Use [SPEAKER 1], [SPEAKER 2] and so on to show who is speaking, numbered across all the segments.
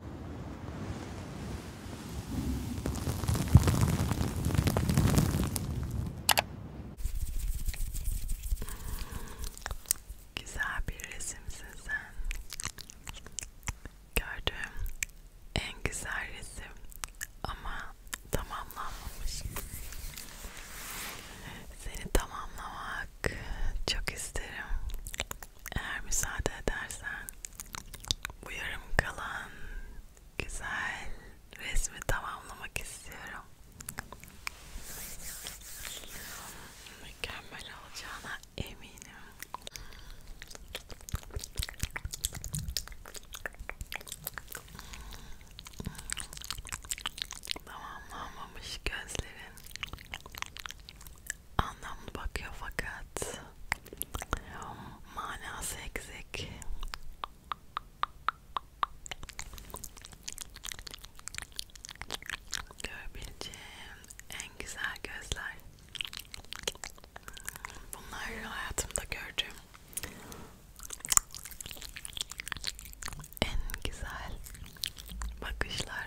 [SPEAKER 1] Güzel bir resimsin sen. Gördüğüm en güzel resim ama tamamlanmamış. Seni tamamlamak çok isterim. Eğer müsaade edersen bu yarım kalan güzel resmi tamamlamak istiyorum. Mükemmel olacağına eminim. Tamamlanmamış gözlerin anlamlı bakıyor fakat manası eksik. Görebileceğim en güzel gözler. Bunlar hayatımda gördüğüm en güzel bakışlar.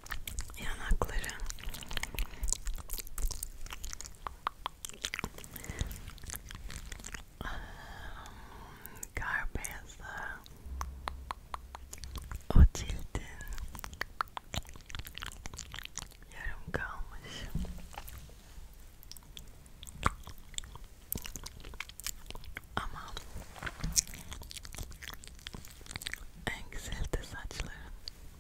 [SPEAKER 1] yanakları ah, kar beyazı o cildin yarım kalmış ama en güzel de saçların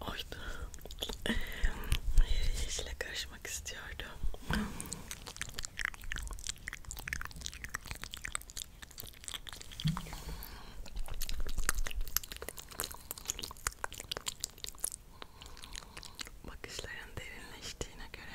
[SPEAKER 1] Oydu. Yeşile karışmak istiyordum. Bakışların derinleştiğine göre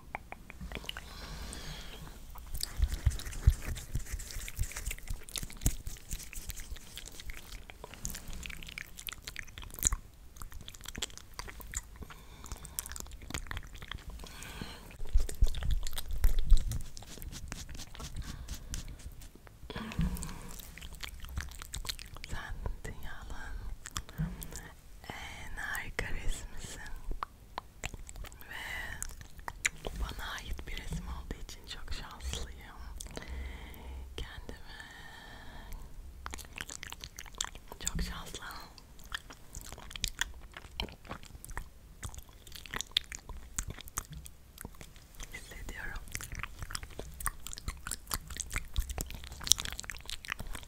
[SPEAKER 1] Sen dünyanın en harika resmisin. Ve bana ait bir resim olduğu için çok şanslıyım. Kendimi çok şanslı. Hissediyorum.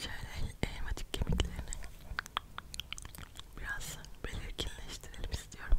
[SPEAKER 1] Şöyle elmacık kemiklerini biraz belirginleştirelim istiyorum.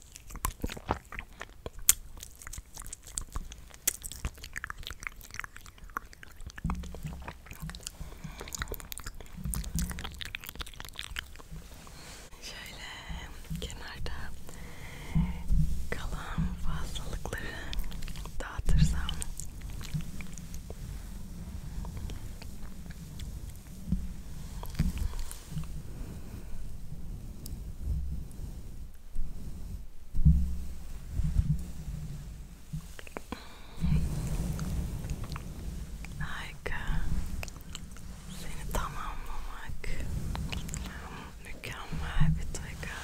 [SPEAKER 1] Şöyle kenarda kalan fazlalıkları dağıtırsam ik uh, het allemaal Ik Nu kan maar betrekken.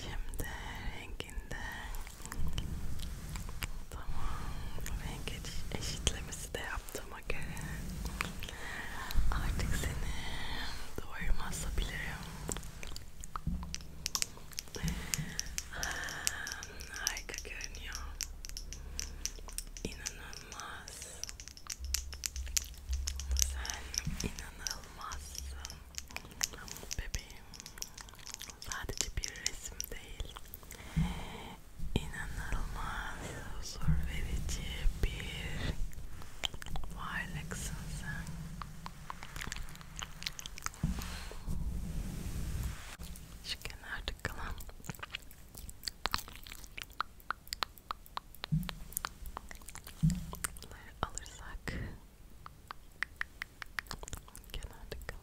[SPEAKER 1] Şimdi renginde tamam renk eşitlemesi de yaptım olduğuma göre artık seni duvarıma asabilirim. Harika görünüyor. İnanılmaz. Sen inanılmazsın. Bebeğim sadece bir resim değil inanılmaz huzur verici bir varlıksın sen. Şu kenarda kalan alırsak kenarda kalan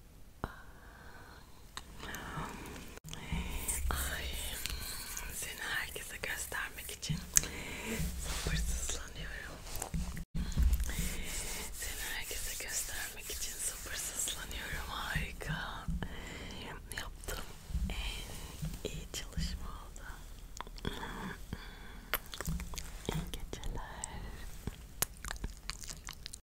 [SPEAKER 1] Ay, seni herkese göstermek için sabırsızlanıyorum. Seni herkese göstermek için sabırsızlanıyorum. Harika. Yaptığım en iyi çalışma oldu. İyi geceler.